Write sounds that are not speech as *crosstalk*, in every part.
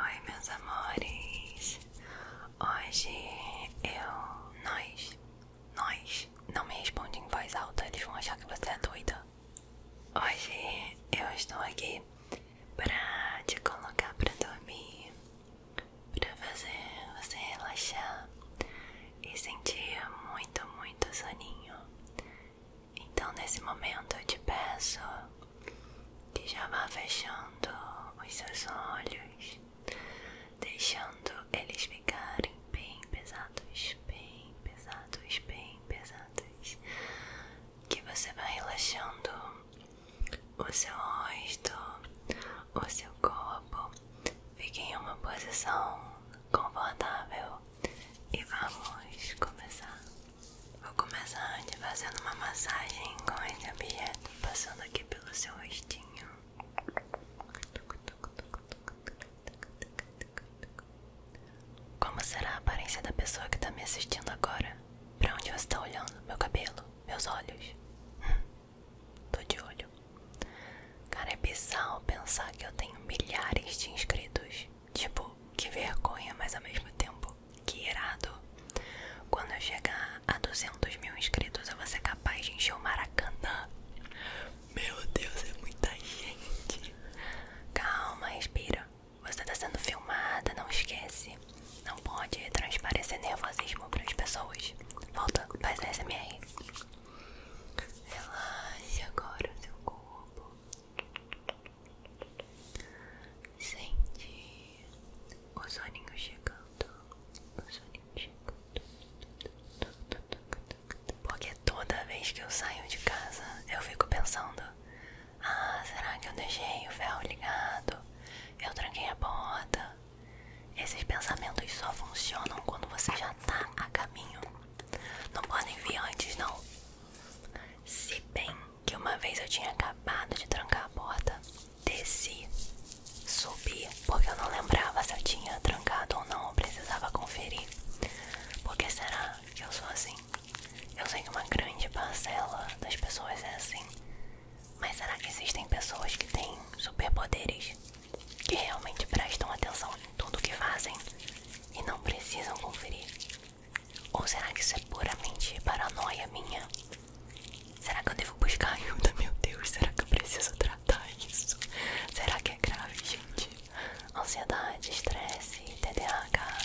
Oi meus amores, hoje eu, nós, nós, não me responde em voz alta, eles vão achar que você é doida. Hoje eu estou aqui para te colocar para dormir, para fazer você relaxar e sentir muito, muito soninho. Então, nesse momento, eu te peço que já vá fechando os seus olhos, deixando eles ficarem bem pesados, bem pesados, bem pesados. Que você vá relaxando o seu rosto, o seu corpo. Fique em uma posição confortável e vamos começar. Vou começar te fazendo uma massagem com esse objeto, passando aqui pelo seu rostinho. Como será a aparência da pessoa que está me assistindo agora? Para onde você está olhando? Meu cabelo? Meus olhos? Hum, tô de olho. Cara, é bizarro pensar que eu tenho milhares de inscritos Tipo, que vergonha, mas ao mesmo tempo, que irado. Quando eu chegar a 200 mil inscritos, eu vou ser capaz de encher o Maracanã. Meu Deus, é muita gente. Calma, respira. Você tá sendo filmada, não esquece. Não pode transparecer nervosismo para as pessoas. Volta, faz a SMR. Relaxa agora o seu corpo. Sente o soninho chegando, o soninho chegando. Porque toda vez que eu saio de casa, eu fico pensando: ah, será que eu deixei o ferro ligado? Eu tranquei a porta. Esses pensamentos só funcionam quando você já tá a caminho. Não podem vir antes, não. Se bem que uma vez eu tinha acabado de trancar a porta, desci, subi, porque eu não lembrava se eu tinha trancado ou não, eu precisava conferir. Porque será que eu sou assim? Eu sei que uma grande parcela das pessoas é assim. Mas será que existem pessoas que têm superpoderes? Que realmente prestam atenção em tudo que fazem e não precisam conferir ou será que isso é puramente paranoia minha? Será que eu devo buscar ajuda? Meu Deus, será que eu preciso tratar isso? Será que é grave, gente? Ansiedade, estresse, TDAH.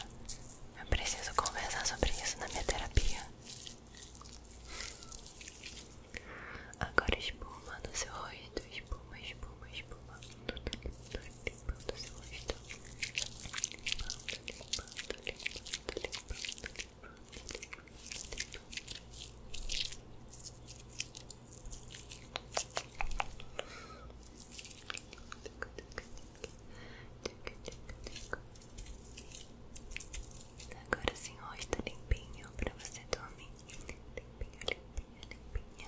Eu preciso conversar sobre isso na minha terapia. Agora espuma no seu rosto, espuma, espuma, espuma limpando o seu rosto, limpando, limpando, limpando, limpando, limpando, Agora sim, rosto tá limpinho para você dormir. Limpinho, limpinho, limpinho.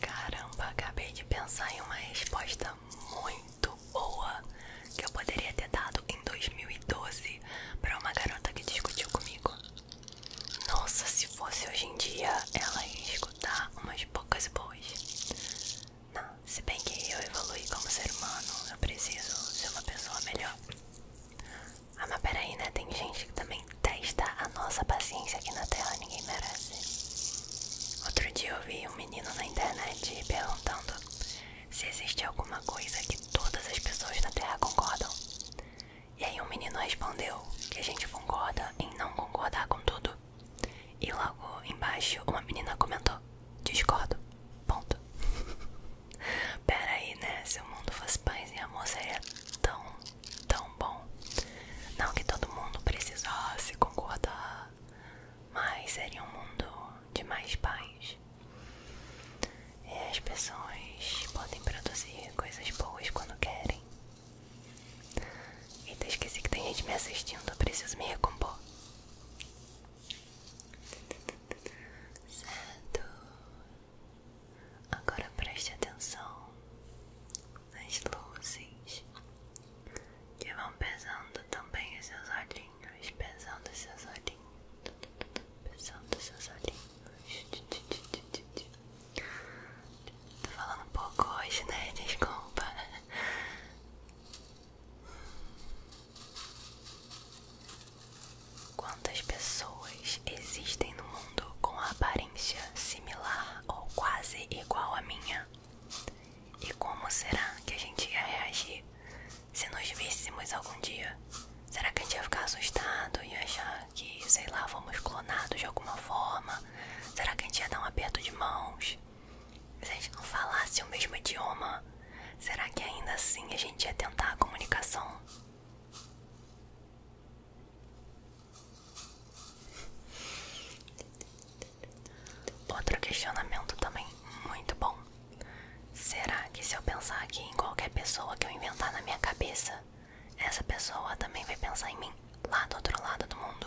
Caramba, acabei de pensar em uma resposta muito boa que eu poderia ter dado em 2012 para uma garota que discutiu comigo. Nossa, se fosse hoje em dia, ela ia escutar umas poucas boas. Não, se bem que eu evolui como ser humano, eu preciso ser uma pessoa melhor. Ah, mas peraí, né? Tem gente que também testa a nossa paciência aqui na Terra, ninguém merece. Outro dia eu vi um menino na internet perguntando se existe alguma coisa que todas as pessoas da Terra concordam. E aí um menino respondeu que a gente concorda em não concordar com tudo. E logo embaixo uma menina comentou: discordo. Ponto. *laughs* Pera aí, né? Se o mundo fosse pães e amor seria tão, tão bom. Não que todo mundo precisasse concordar, mas seria um mundo de mais pães E as pessoas podem produzir coisas boas quando querem. Eita, esqueci que tem gente me assistindo, eu preciso me recompor. Certo, Agora preste atenção nas luzes que vão pesando também os seus olhinhos, pesando os seus olhinhos, pesando os seus olhinhos. Tô falando um pouco hoje, né? Desculpa. Quantas pessoas existem no mundo com aparência similar ou quase igual à minha? E como será que a gente ia reagir se nos víssemos algum dia? Será que a gente ia ficar assustado e achar que, sei lá, fomos clonados de alguma forma? Será que a gente ia dar um aperto de mãos? Se a gente não falasse o mesmo idioma, será que ainda assim a gente ia tentar a comunicação? Outro questionamento também muito bom. Será que se eu pensar aqui em qualquer pessoa que eu inventar na minha cabeça, essa pessoa também vai pensar em mim lá do outro lado do mundo?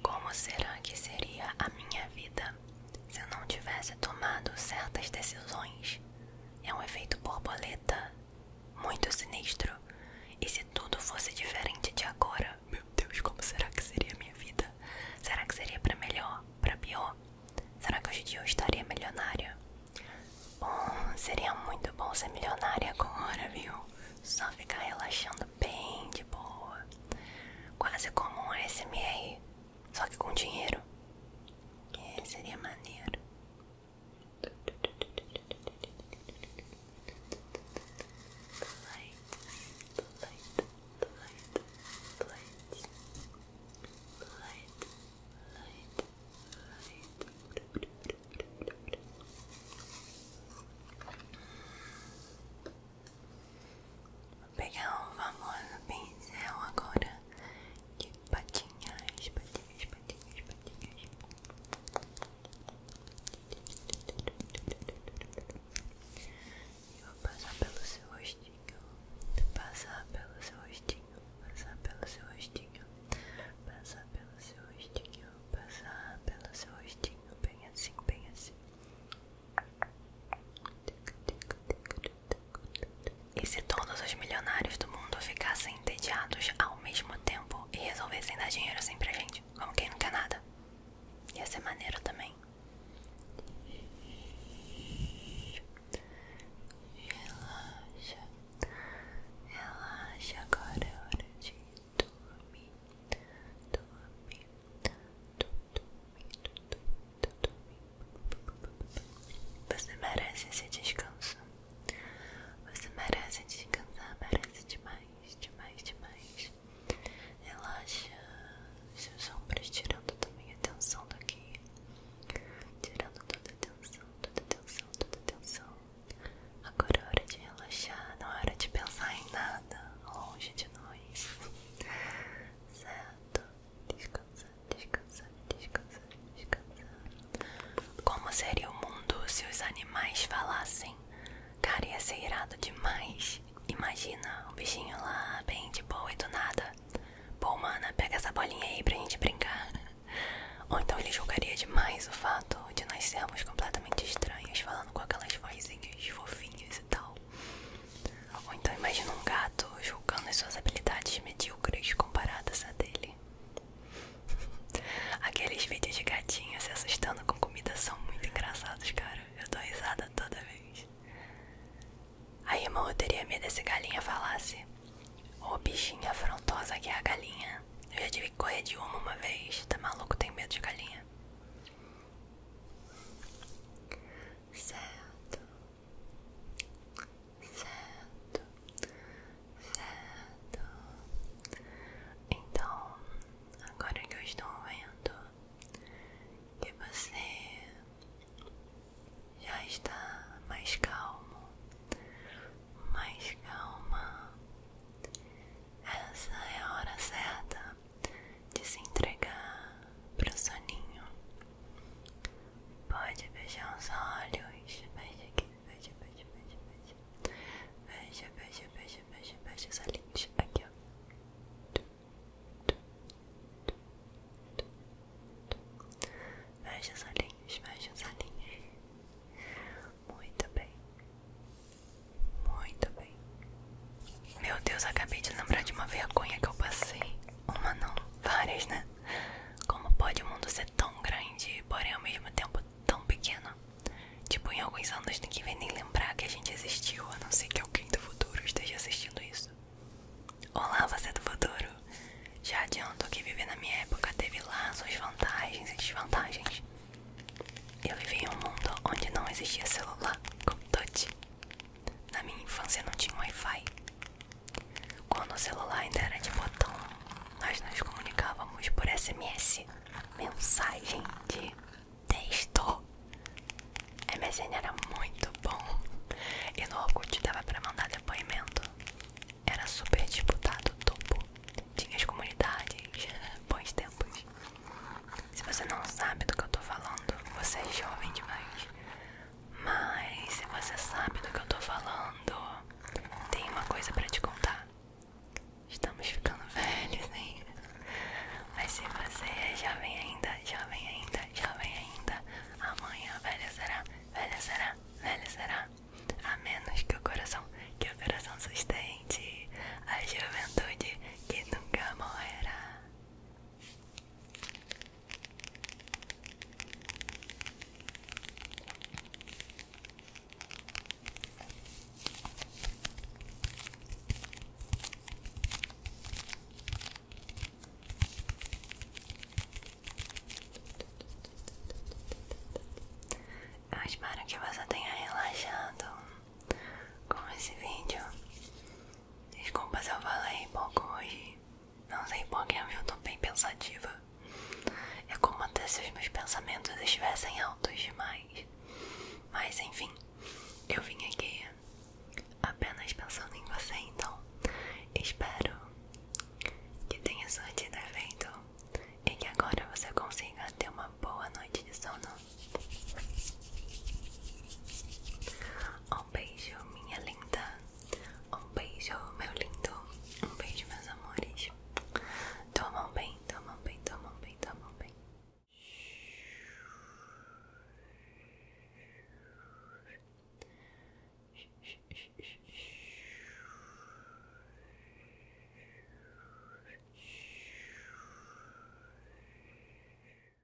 Como será que seria a minha vida se eu não tivesse tomado certas decisões? É um efeito borboleta muito sinistro. E se tudo fosse diferente de agora? Meu Deus, como será que seria a minha vida? Será que seria para melhor? Para pior? Será que hoje em dia eu estaria milionária? Bom, hum, seria muito bom ser milionária agora, viu? Só ficar relaxando bem de boa, quase como um SMR, só que com dinheiro. É, seria maneiro. Vou pegar um famoso pincel agora de patinhas, patinhas, patinhas, patinhas. e vou passar pelo seu rostinho, passar pelo seu rostinho, passar pelo seu rostinho, passar pelo seu rostinho, passar pelo seu rostinho, bem assim, bem assim. E se todos os milionários do mundo ficassem entediados ao mesmo tempo e resolvessem dar dinheiro assim pra gente, como quem não quer nada? Ia ser maneiro também. Relaxa, relaxa, agora é hora de dormir. Dormir, você merece esse descanso. Você merece descansar, merece demais, demais, demais. Relaxa seus ombros, é tirando também a tensão daqui. Tirando toda a tensão, toda a tensão, toda a tensão. Agora é hora de relaxar, não é hora de pensar em nada longe de nós descansando, descansando, descansando, descansando, descansando. Como seria o mundo se os animais falassem? Cara, ia ser irado demais. Imagina o bichinho lá, bem de boa e do nada. Pô, mana, pega essa bolinha aí pra gente brincar. Ou então ele julgaria demais o fato de nós sermos completamente estranhos, falando com aquelas vozinhas fofinhas e tal. Ou então imagina um gato julgando as suas habilidades medíocres comparadas a dele. Aqueles vídeos de gatinho se assustando com comida são muito engraçados, cara. Eu dou risada toda vez. Aí, irmão, eu teria medo se galinha falasse. Ô oh, bichinha afrontosa que é a galinha. Eu já tive que correr de uma uma vez. Tá maluco? Tem medo de galinha certo, certo, certo. Então, agora que eu estou vendo que você já está mais calmo, mais calma. Essa é a hora certa de se entregar para o soninho. Pode beijar os olhos, fecha aqui, fecha, fecha, fecha, fecha, fecha, fecha, fecha, fecha, fecha os olhinhos, aqui ó. Fecha os olhinhos, fecha os olhinhos. Muito bem, muito bem. Meu Deus, acabei de lembrar de uma vergonha que eu passei. Uma não, várias, né? Como pode o mundo ser tão grande, porém ao mesmo tempo tão pequeno? Tipo, em alguns anos ninguém vem nem lembrar que a gente existiu, a não ser que alguém do futuro esteja assistindo isso. Olá, você é do futuro! Já adianto que viver na minha época teve lá suas vantagens e desvantagens. Eu vivi em um mundo onde não existia celular, como touch, na minha infância não tinha Wi-Fi. Quando o celular ainda era de botão, nós nos comunicávamos por SMS, mensagem de texto. MSN era muito bom. E no Orkut dava pra mandar depoimento. Era super disputado o topo. Tinha as comunidades, bons tempos. Se você não sabe do que eu tô falando, você é jovem demais. Mas se você sabe do que eu tô falando, tem uma coisa para te contar. Estamos ficando velhos, hein? Mas se você é jovem ainda, jovem ainda, jovem ainda, amanhã velha será, velha será, velha será. A menos que o coração, que o coração sustente a juventude que nunca morrerá. Eu espero que você tenha relaxado com esse vídeo Desculpa se eu falei pouco hoje. Não sei porquê, eu tô bem pensativa. É como se os meus pensamentos estivessem altos demais. Mas enfim, eu vim aqui apenas pensando em você, então espero que tenha sorte do evento e que agora você consiga ter uma boa noite de sono. Um beijo, minha linda. Um beijo, meu lindo. Um beijo, meus amores. Tomam bem, tomam bem, tomam bem, tomam bem.